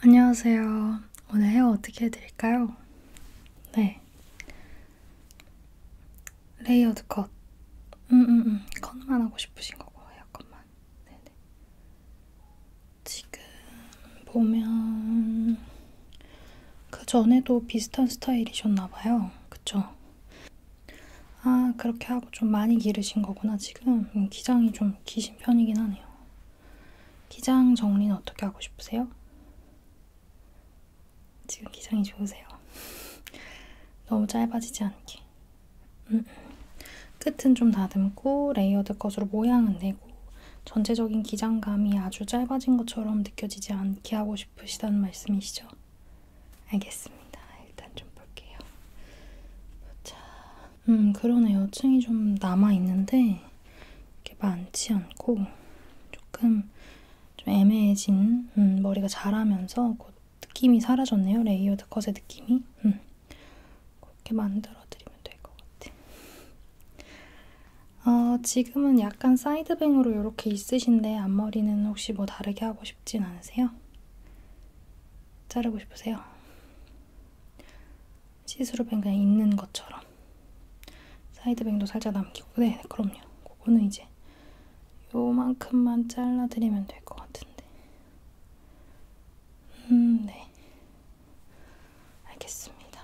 안녕하세요. 오늘 헤어 어떻게 해드릴까요? 네. 레이어드 컷. 음, 음, 음. 컷만 하고 싶으신 거고, 헤어컷만. 네네. 지금 보면, 그 전에도 비슷한 스타일이셨나봐요. 그쵸? 아, 그렇게 하고 좀 많이 기르신 거구나, 지금. 음, 기장이 좀 기신 편이긴 하네요. 기장 정리는 어떻게 하고 싶으세요? 지금 기장이 좋으세요. 너무 짧아지지 않게. 음, 음. 끝은 좀 다듬고 레이어드 컷으로 모양은 내고 전체적인 기장감이 아주 짧아진 것처럼 느껴지지 않게 하고 싶으시다는 말씀이시죠? 알겠습니다. 일단 좀 볼게요. 보자. 음, 그러네요. 층이 좀 남아있는데, 이렇게 많지 않고, 조금 좀 애매해진, 음, 머리가 자라면서 그 느낌이 사라졌네요. 레이어드 컷의 느낌이. 음, 그렇게 만들어드리면 될 것 같아. 어, 지금은 약간 사이드뱅으로 이렇게 있으신데, 앞머리는 혹시 뭐 다르게 하고 싶진 않으세요? 자르고 싶으세요? 시스루뱅 그냥 있는 것처럼 사이드뱅도 살짝 남기고 네 그럼요 그거는 이제 요만큼만 잘라드리면 될 것 같은데 음네 알겠습니다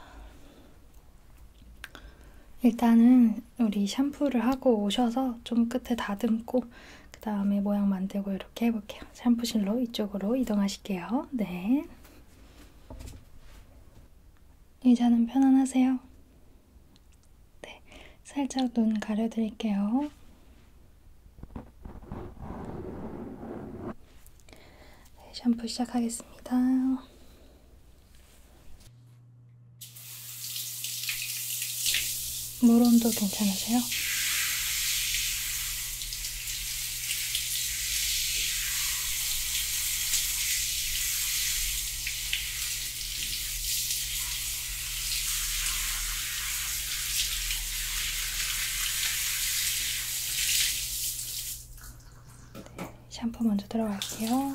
일단은 우리 샴푸를 하고 오셔서 좀 끝에 다듬고 그 다음에 모양 만들고 이렇게 해볼게요 샴푸실로 이쪽으로 이동하실게요 네 의자는 네, 편안하세요? 네, 살짝 눈 가려드릴게요. 네, 샴푸 시작하겠습니다. 물 온도 괜찮으세요? 샴푸 먼저 들어갈게요.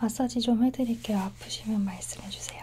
마사지 좀 해드릴게요. 아프시면 말씀해주세요.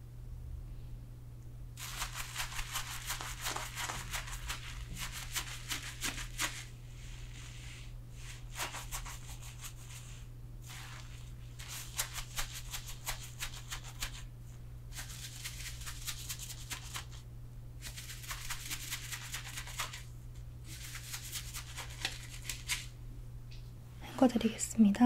헹궈 드리겠습니다.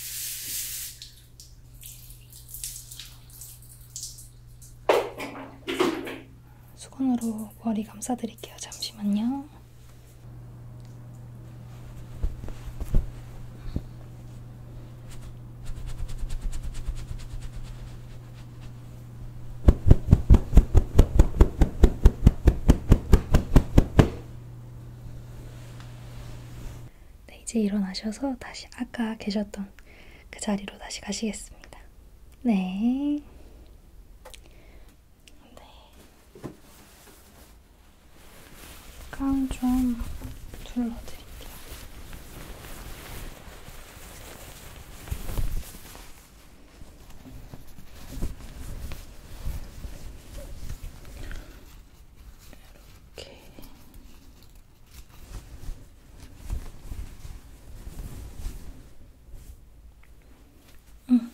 수건으로 머리 감싸드릴게요. 잠시만요. 네, 이제 일어나셔서 다시 아까 계셨던 그 자리로 다시 가시겠습니다. 네. 네. 깡좀 둘러드릴게요. 이렇게 음.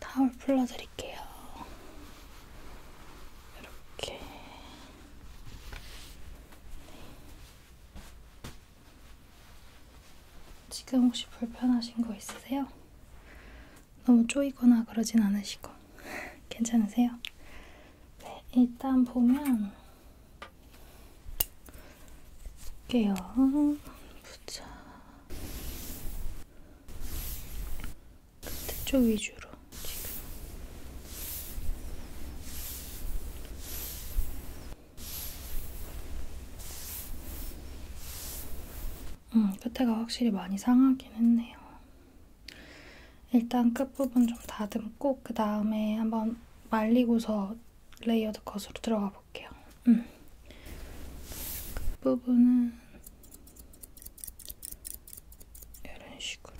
타올 풀러드릴게요. 이렇게. 지금 혹시 불편하신 거 있으세요? 너무 쪼이거나 그러진 않으시고 괜찮으세요? 네, 일단 보면 볼게요. 보자. 그쪽 위주로 지금. 음, 끝에가 확실히 많이 상하긴 했네요. 일단 끝부분 좀 다듬고 그 다음에 한번 말리고서 레이어드 컷으로 들어가 볼게요. 음. 끝부분은 이런 식으로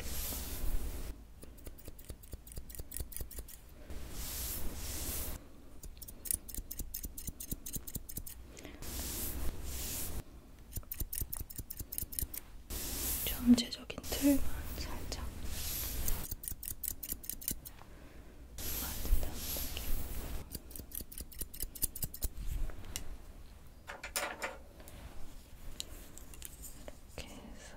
전체적인 틀만 살짝 만든다는 느낌. 이렇게 해서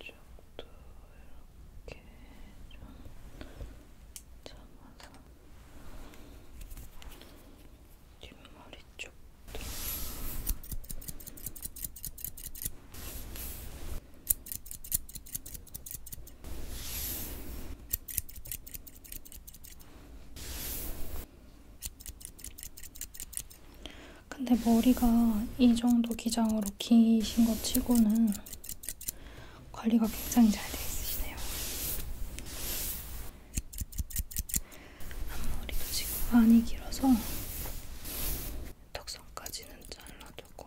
이쪽도 이렇게 좀 잡아서 뒷머리 쪽도 이렇게 근데 머리가 이 정도 기장으로 기신 것 치고는 관리가 굉장히 잘 되어 있으시네요. 앞머리도 지금 많이 길어서 턱선까지는 잘라두고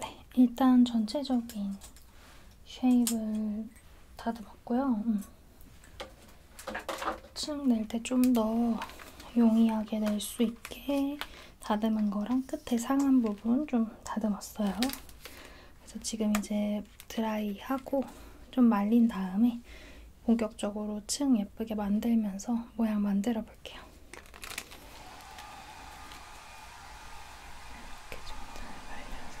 네, 일단 전체적인 쉐입을 다듬었고요. 음. 층낼 때 좀 더 용이하게 낼 수 있게 다듬은 거랑 끝에 상한 부분 좀 다듬었어요. 그래서 지금 이제 드라이하고 좀 말린 다음에 본격적으로 층 예쁘게 만들면서 모양 만들어 볼게요. 이렇게 좀 잘 말려서.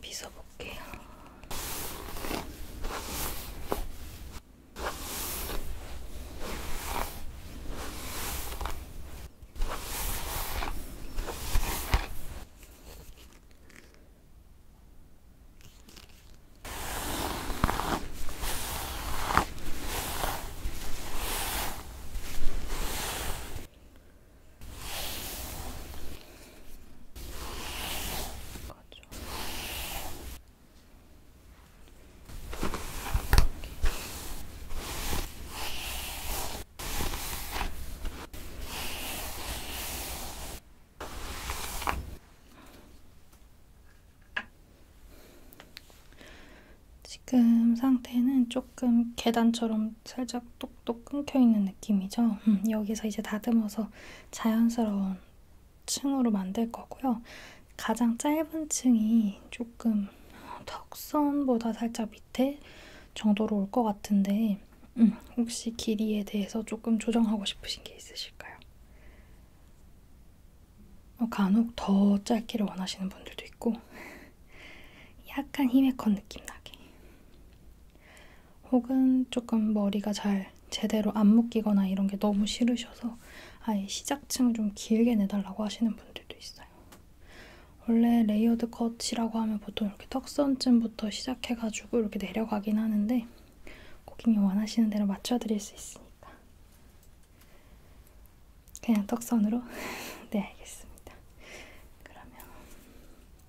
빗어볼게요. 거죠. 지금 상태는 조금 계단처럼 살짝 똑똑 끊겨 있는 느낌이죠. 음, 여기서 이제 다듬어서 자연스러운 층으로 만들 거고요. 가장 짧은 층이 조금 턱선보다 살짝 밑에 정도로 올 것 같은데 음, 혹시 길이에 대해서 조금 조정하고 싶으신 게 있으실까요? 어, 간혹 더 짧기를 원하시는 분들도 있고 약간 히메컨 느낌 나게 혹은 조금 머리가 잘 제대로 안 묶이거나 이런 게 너무 싫으셔서 아예 시작층을 좀 길게 내달라고 하시는 분들도 있어요. 원래 레이어드 컷이라고 하면 보통 이렇게 턱선쯤부터 시작해가지고 이렇게 내려가긴 하는데 고객님 원하시는 대로 맞춰드릴 수 있으니까 그냥 턱선으로? 네 알겠습니다. 그러면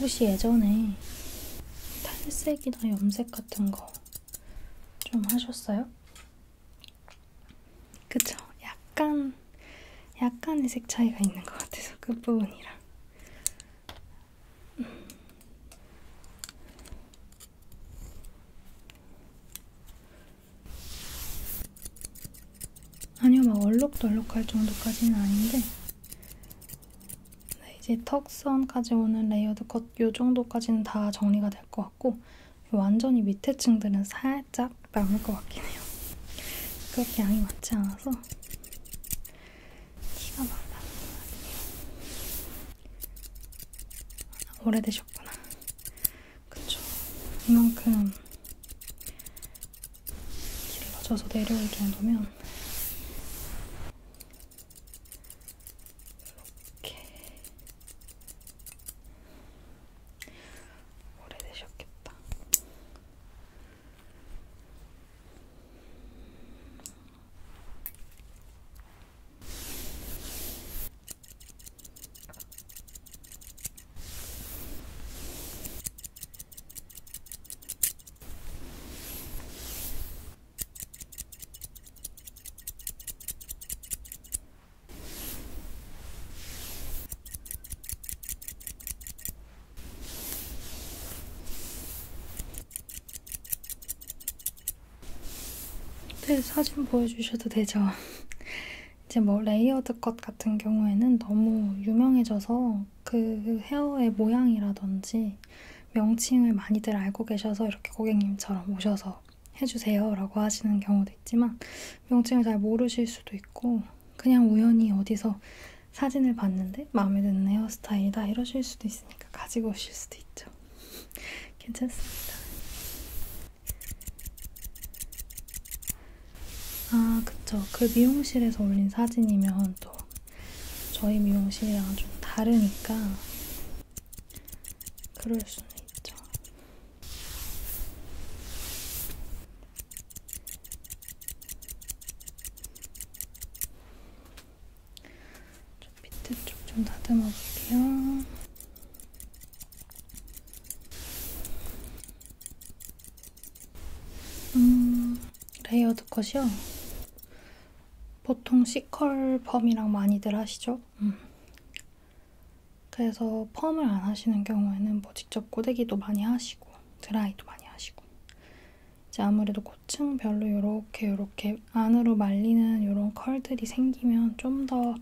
혹시 예전에 탈색이나 염색 같은 거 좀 하셨어요? 그쵸? 약간 약간의 색 차이가 있는 것 같아서 끝부분이랑 그 음. 아니요 막 얼룩덜룩할 정도까지는 아닌데 네, 이제 턱선까지 오는 레이어드 컷 요정도까지는 다 정리가 될 것 같고 완전히 밑에 층들은 살짝 남을 것 같긴 해요. 그렇게 양이 많지 않아서 티가 막 나는 것 같아요. 오래되셨구나. 그쵸. 이만큼 길러져서 내려올 정도면 이렇게 오래되셨겠다. 네, 사진 보여주셔도 되죠. 이제 뭐 레이어드 컷 같은 경우에는 너무 유명해져서 그 헤어의 모양이라든지 명칭을 많이들 알고 계셔서 이렇게 고객님처럼 오셔서 해주세요 라고 하시는 경우도 있지만 명칭을 잘 모르실 수도 있고 그냥 우연히 어디서 사진을 봤는데 마음에 드는 헤어스타일이다 이러실 수도 있으니까 가지고 오실 수도 있죠. 괜찮습니다. 아 그쵸. 그 미용실에서 올린 사진이면 또 저희 미용실이랑 좀 다르니까 그럴 수는 있죠. 좀 밑에 쪽 좀 다듬어 볼게요. 음, 레이어드 컷이요? 보통 C컬 범이랑 많이들 하시죠? 음. 그래서 펌을 안 하시는 경우에는 뭐 직접 고데기도 많이 하시고 드라이도 많이 하시고 이제 아무래도 고층별로 이렇게 이렇게 안으로 말리는 이런 컬들이 생기면 좀 더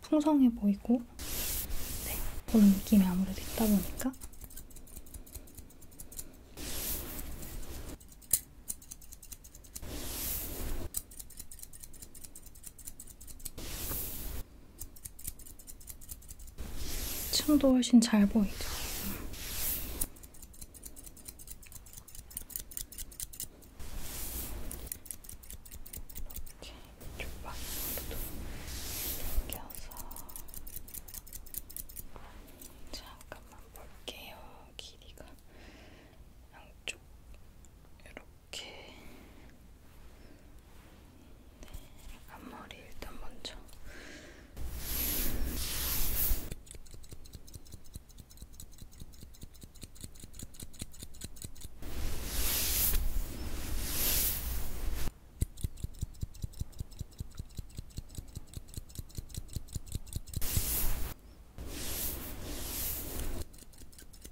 풍성해 보이고 네, 그런 느낌이 아무래도 있다 보니까 층도 훨씬 잘 보이죠. 잠깐만 볼게요. 길이가 양쪽 이렇게 이렇게 네, 앞머리 일단 먼저 네,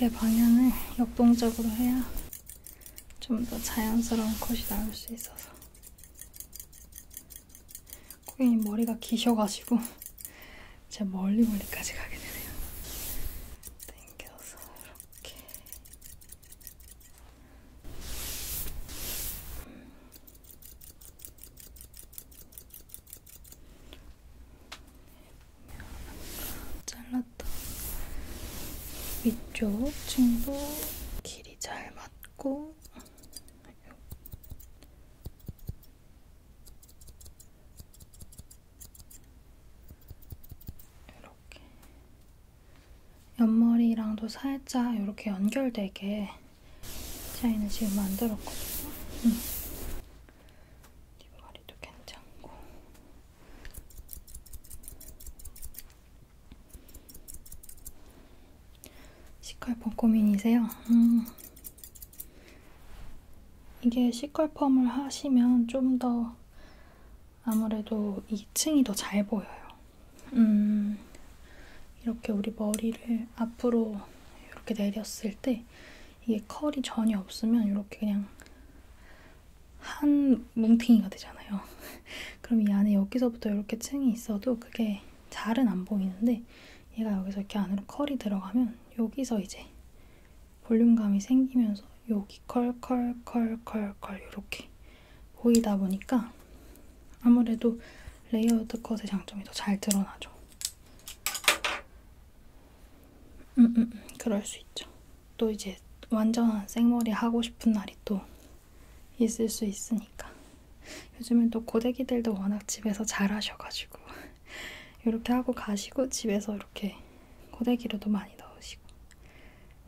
이렇게 방향을 역동적으로 해야 좀 더 자연스러운 컷이 나올 수 있어서 고객님 머리가 기셔가지고 제 멀리 멀리까지 가게 되네요 네. 당겨서 이렇게 음. 잘랐던 위쪽 층도 길이 잘 맞고 이렇게 옆머리랑도 살짝 이렇게 연결되게 디자인을 지금 만들었거든요. 응. 음. 뒷머리도 괜찮고. 시컬폰 고민이세요? 음. 이게 시컬펌을 하시면 좀 더 아무래도 2층이 더 잘 보여요. 음, 이렇게 우리 머리를 앞으로 이렇게 내렸을 때 이게 컬이 전혀 없으면 이렇게 그냥 한 뭉탱이가 되잖아요. 그럼 이 안에 여기서부터 이렇게 층이 있어도 그게 잘은 안 보이는데 얘가 여기서 이렇게 안으로 컬이 들어가면 여기서 이제 볼륨감이 생기면서 여기 컬컬 컬컬컬 이렇게 보이다 보니까 아무래도 레이어드 컷의 장점이 더 잘 드러나죠. 음, 음, 음, 그럴 수 있죠. 또 이제 완전한 생머리 하고 싶은 날이 또 있을 수 있으니까. 요즘엔 또 고데기들도 워낙 집에서 잘 하셔가지고 이렇게 하고 가시고 집에서 이렇게 고데기로도 많이 넣으시고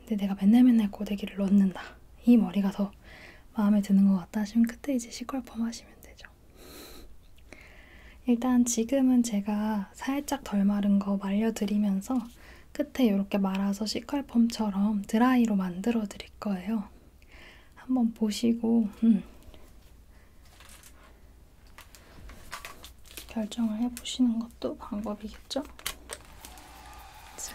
근데 내가 맨날 맨날 고데기를 넣는다 이 머리가 더 마음에 드는 것 같다 하시면 그때 이제 시컬펌 하시면 되죠 일단 지금은 제가 살짝 덜 마른 거 말려드리면서 끝에 이렇게 말아서 시컬펌처럼 드라이로 만들어 드릴 거예요 한번 보시고 음. 결정을 해보시는 것도 방법이겠죠? 자.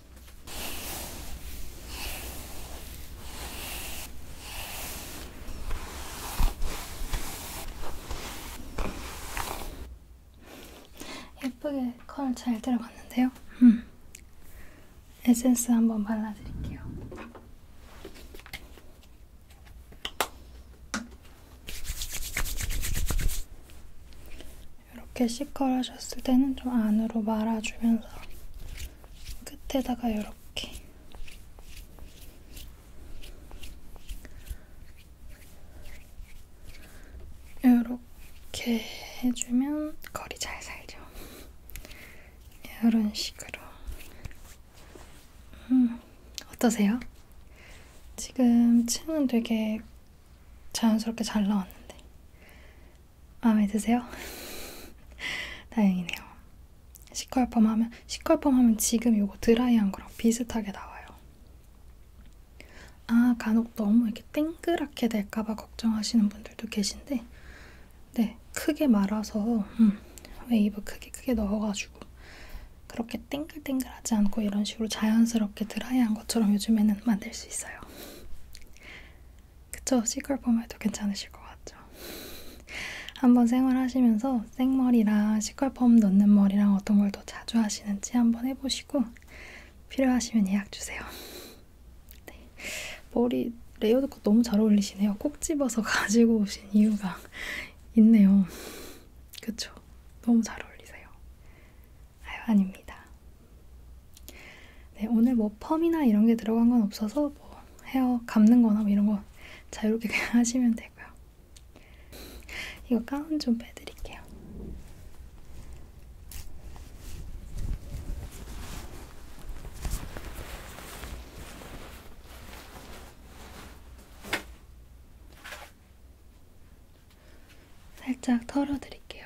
예쁘게 컬잘 들어갔는데요. 음. 에센스 한번 발라드릴게요. 이렇게 C컬 하셨을 때는 좀 안으로 말아주면서 끝에다가 이렇게 이렇게 해주면 거리 잘 살죠. 이런 식으로. 음, 어떠세요? 지금 층은 되게 자연스럽게 잘 나왔는데 마음에 드세요? 다행이네요. 시컬펌 하면 시컬펌 하면 지금 요거 드라이한 거랑 비슷하게 나와요. 아 간혹 너무 이렇게 땡그랗게 될까봐 걱정하시는 분들도 계신데, 네 크게 말아서 음, 웨이브 크게 크게 넣어가지고 그렇게 땡글땡글하지 않고 이런 식으로 자연스럽게 드라이한 것처럼 요즘에는 만들 수 있어요. 그쵸? C컬 펌에도 괜찮으실 것 같죠? 한번 생활하시면서 생머리랑 C컬 펌 넣는 머리랑 어떤 걸 더 자주 하시는지 한번 해보시고 필요하시면 예약 주세요. 네. 머리 레이어드 컷 너무 잘 어울리시네요. 콕 집어서 가지고 오신 이유가 있네요. 그쵸? 너무 잘 어울리세요. 아유, 아닙니다. 네, 오늘 뭐 펌이나 이런 게 들어간 건 없어서 뭐 헤어 감는 거나 뭐 이런 거 자유롭게 그냥 하시면 되고요. 이거 가운 좀 빼드릴게요. 살짝 털어드릴게요.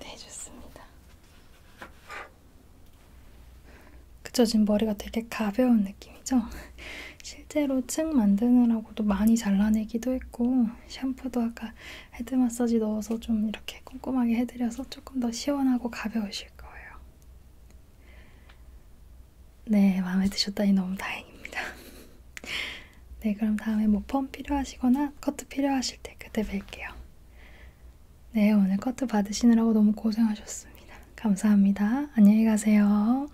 네, 좋습니다. 그쵸, 지금 머리가 되게 가벼운 느낌이죠? 실제로 층 만드느라고도 많이 잘라내기도 했고 샴푸도 아까 헤드 마사지 넣어서 좀 이렇게 꼼꼼하게 해드려서 조금 더 시원하고 가벼우실 거예요. 네, 마음에 드셨다니 너무 다행입니다. 네, 그럼 다음에 뭐펌 필요하시거나 커트 필요하실 때 그때 뵐게요. 네, 오늘 커트 받으시느라고 너무 고생하셨습니다. 감사합니다. 안녕히 가세요.